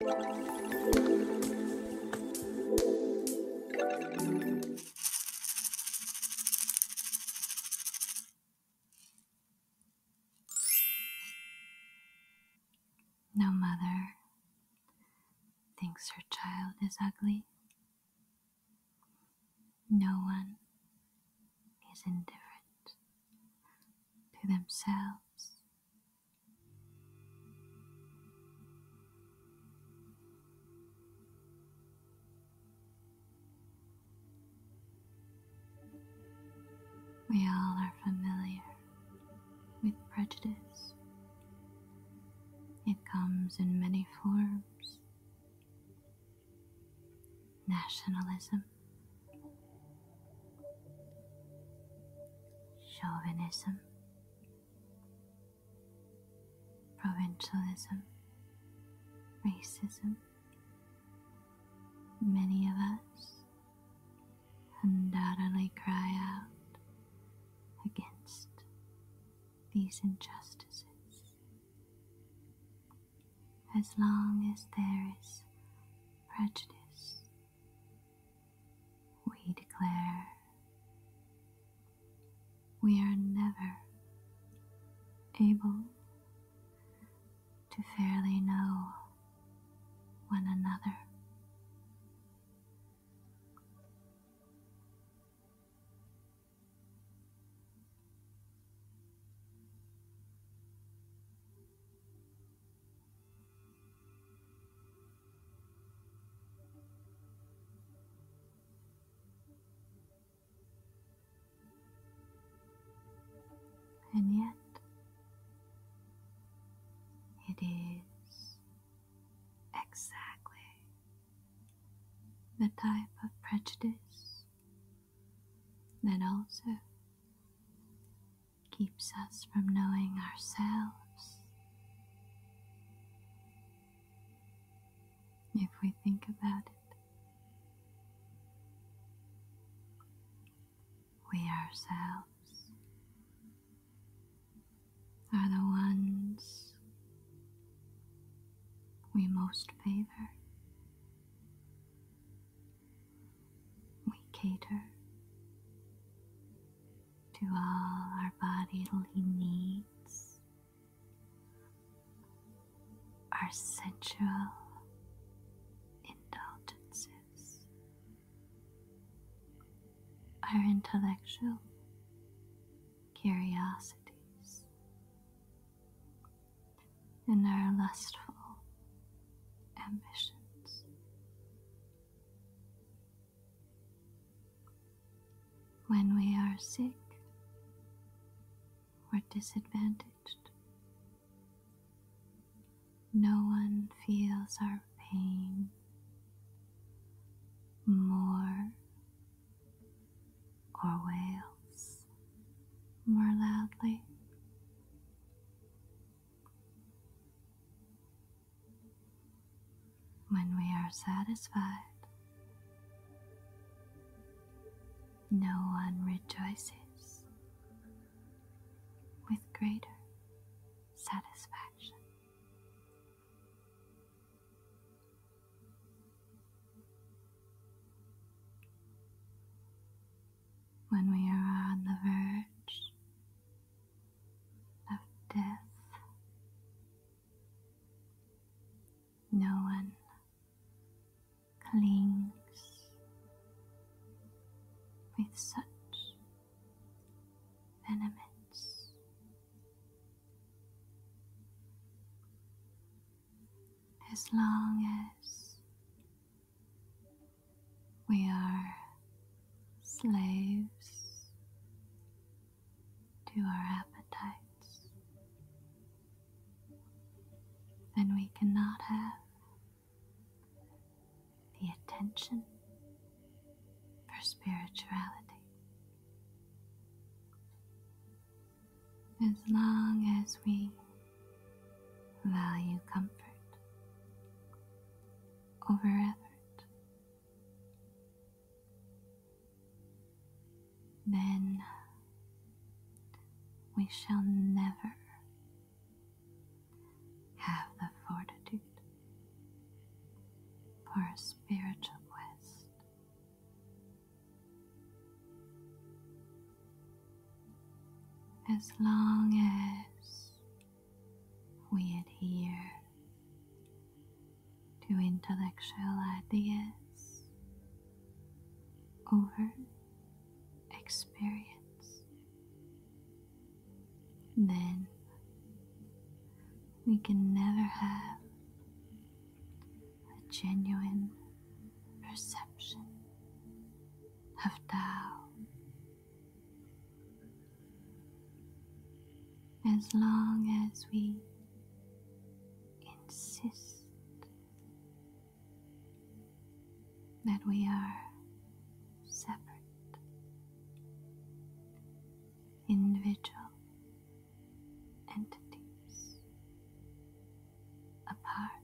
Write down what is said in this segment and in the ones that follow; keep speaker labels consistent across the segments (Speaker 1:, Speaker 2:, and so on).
Speaker 1: No mother thinks her child is ugly. No one is indifferent to themselves we all are familiar with prejudice. It comes in many forms. Nationalism, chauvinism, provincialism, racism. Many of us undoubtedly cry out against these injustices. As long as there is prejudice we declare we are never able to fairly know one another. And yet, it is exactly the type of prejudice that also keeps us from knowing ourselves. If we think about it, we ourselves are the ones we most favor we cater to all our bodily needs, our sensual indulgences, our intellectual curiosities, and our lustful ambitions. When we are sick or disadvantaged, no one feels our pain more or wails more loudly. When we are satisfied, no one rejoices with greater satisfaction. When we are on the verge of death. No one clings with such venomance. As long as we are slaves to our appetites, and we cannot have the attention for spirituality. As long as we value comfort over effort. Then we shall never have the fortitude for a spiritual quest. As long as we adhere to intellectual ideas over experience. Then we can never have a genuine perception of Tao as long as we insist that we are separate, individual entities apart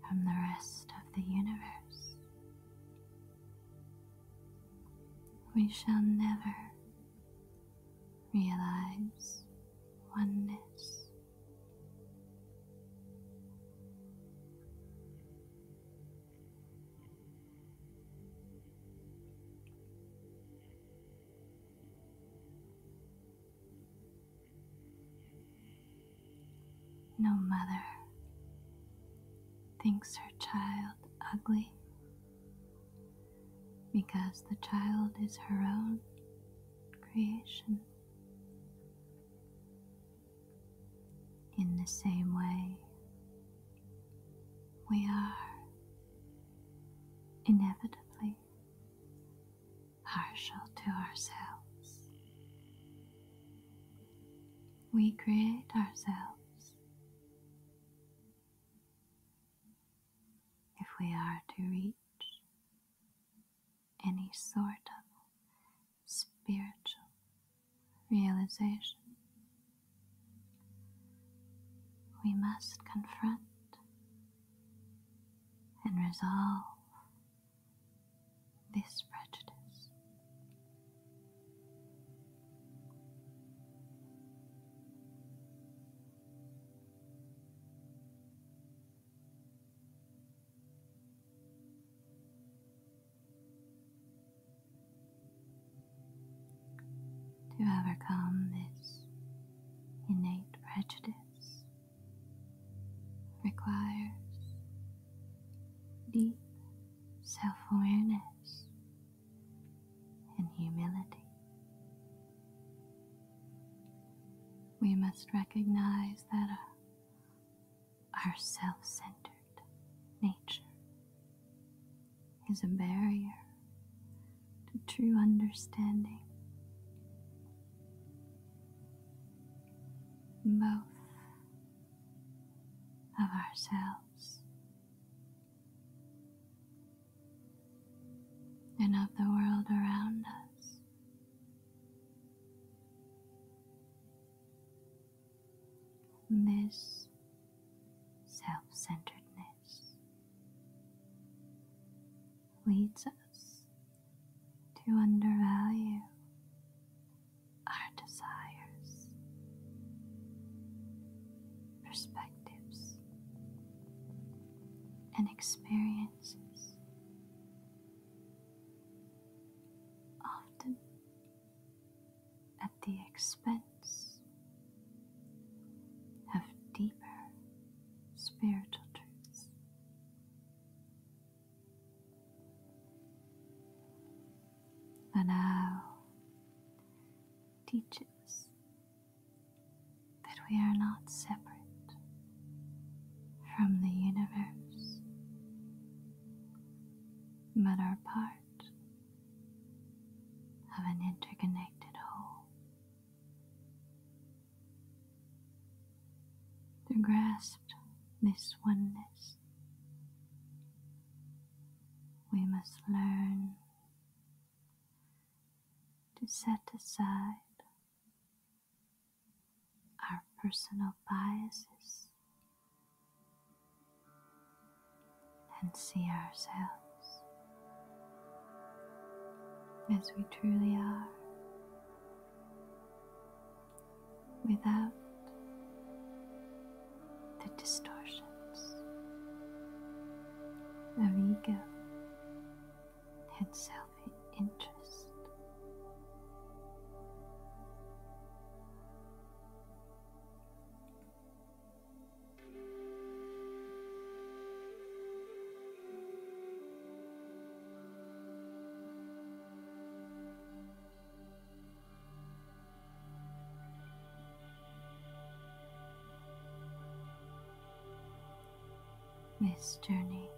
Speaker 1: from the rest of the universe. We shall never realize oneness. No mother thinks her child ugly because the child is her own creation. In the same way, we are inevitably partial to ourselves. We create ourselves. If we are to reach any sort of spiritual realization, we must confront and resolve this prejudice. To overcome this innate prejudice requires deep self awareness and humility. We must recognize that uh, our, self centered nature is a barrier to true understanding both of ourselves and of the world around us. This self centeredness leads us to undervalue our desires, perspectives, and experiences. Often at the expense of deeper spiritual truths. And now teaches that we are not separate from the universe, but are part of an interconnected whole to grasp this oneness, we must learn to set aside our personal biases and see ourselves as we truly are without the distortions of ego and self interest. This journey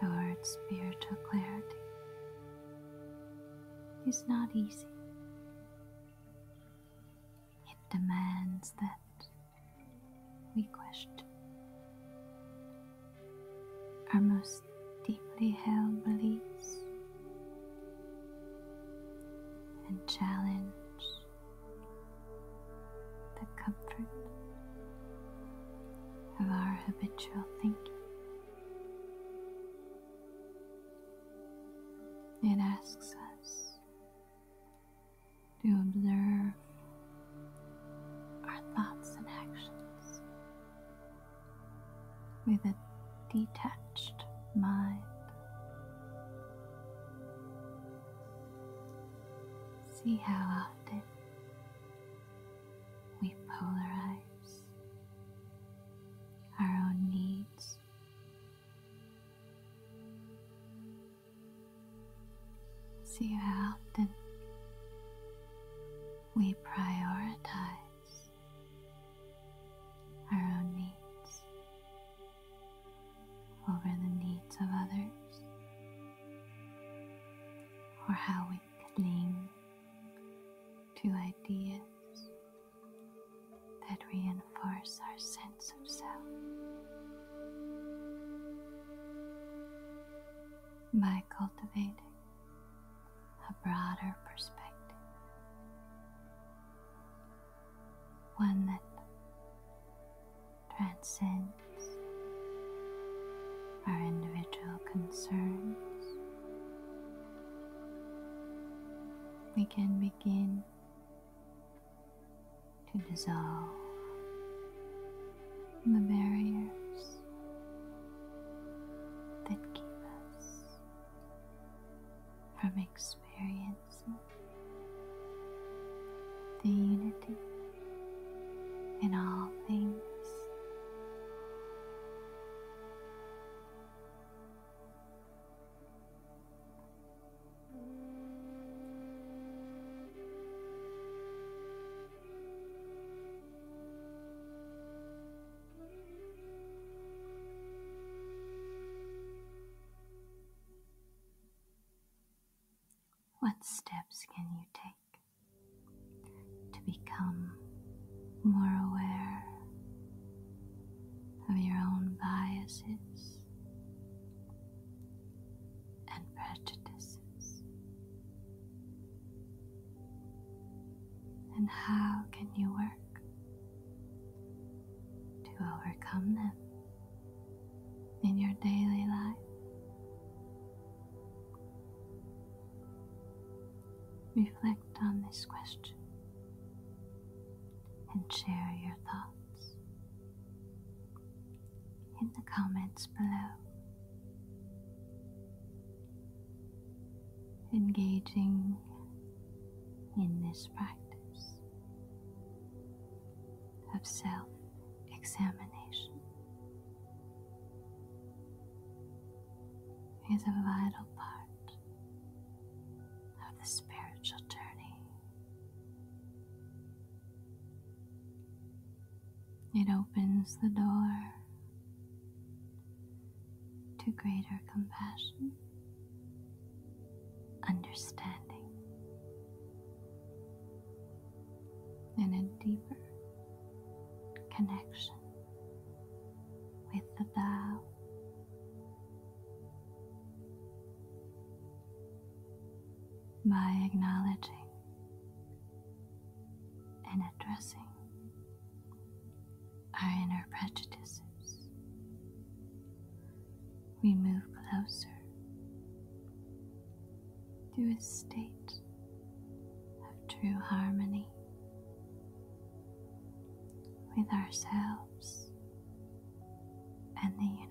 Speaker 1: towards spiritual clarity is not easy. It demands that we question our most deeply held beliefs and challenge the comfort of our habitual thinking. It asks us to observe our thoughts and actions with a detached mind. See how often we polarize our own needs See how often we prioritize our own needs over the needs of others, or how we cling to ideas that reinforce our sense of self by cultivating a broader perspective, one that transcends our individual concerns. We can begin to dissolve the barriers that keep us from experiencing the unity in all things. What steps can you take to become more aware of your own biases, and prejudices? And how can you work to overcome them in your daily life? Reflect on this question and share your thoughts in the comments below engaging in this practice of self examination is a vital part of the spiritual journey. It opens the door to greater compassion, understanding, and a deeper connection with the Tao by acknowledging and addressing our inner prejudices. We move closer to a state of true harmony with ourselves and the universe.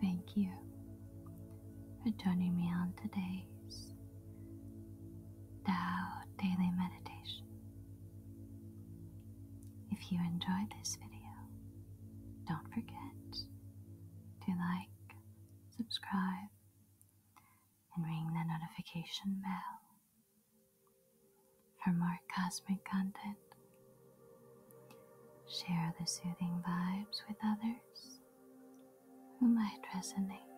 Speaker 1: Thank you for joining me on today's Tao Daily Meditation. If you enjoyed this video, don't forget to like, subscribe, and ring the notification bell for more cosmic content. Share the soothing vibes with others who might resonate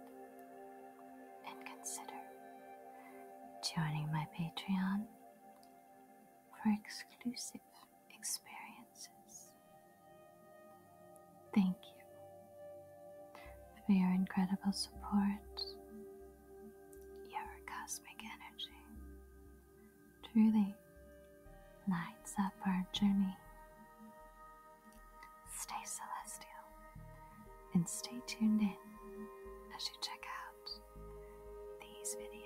Speaker 1: and consider joining my Patreon for exclusive experiences. Thank you for your incredible support, your cosmic energy. Truly lights up our journey. Stay celestial and stay tuned in as you check out these videos.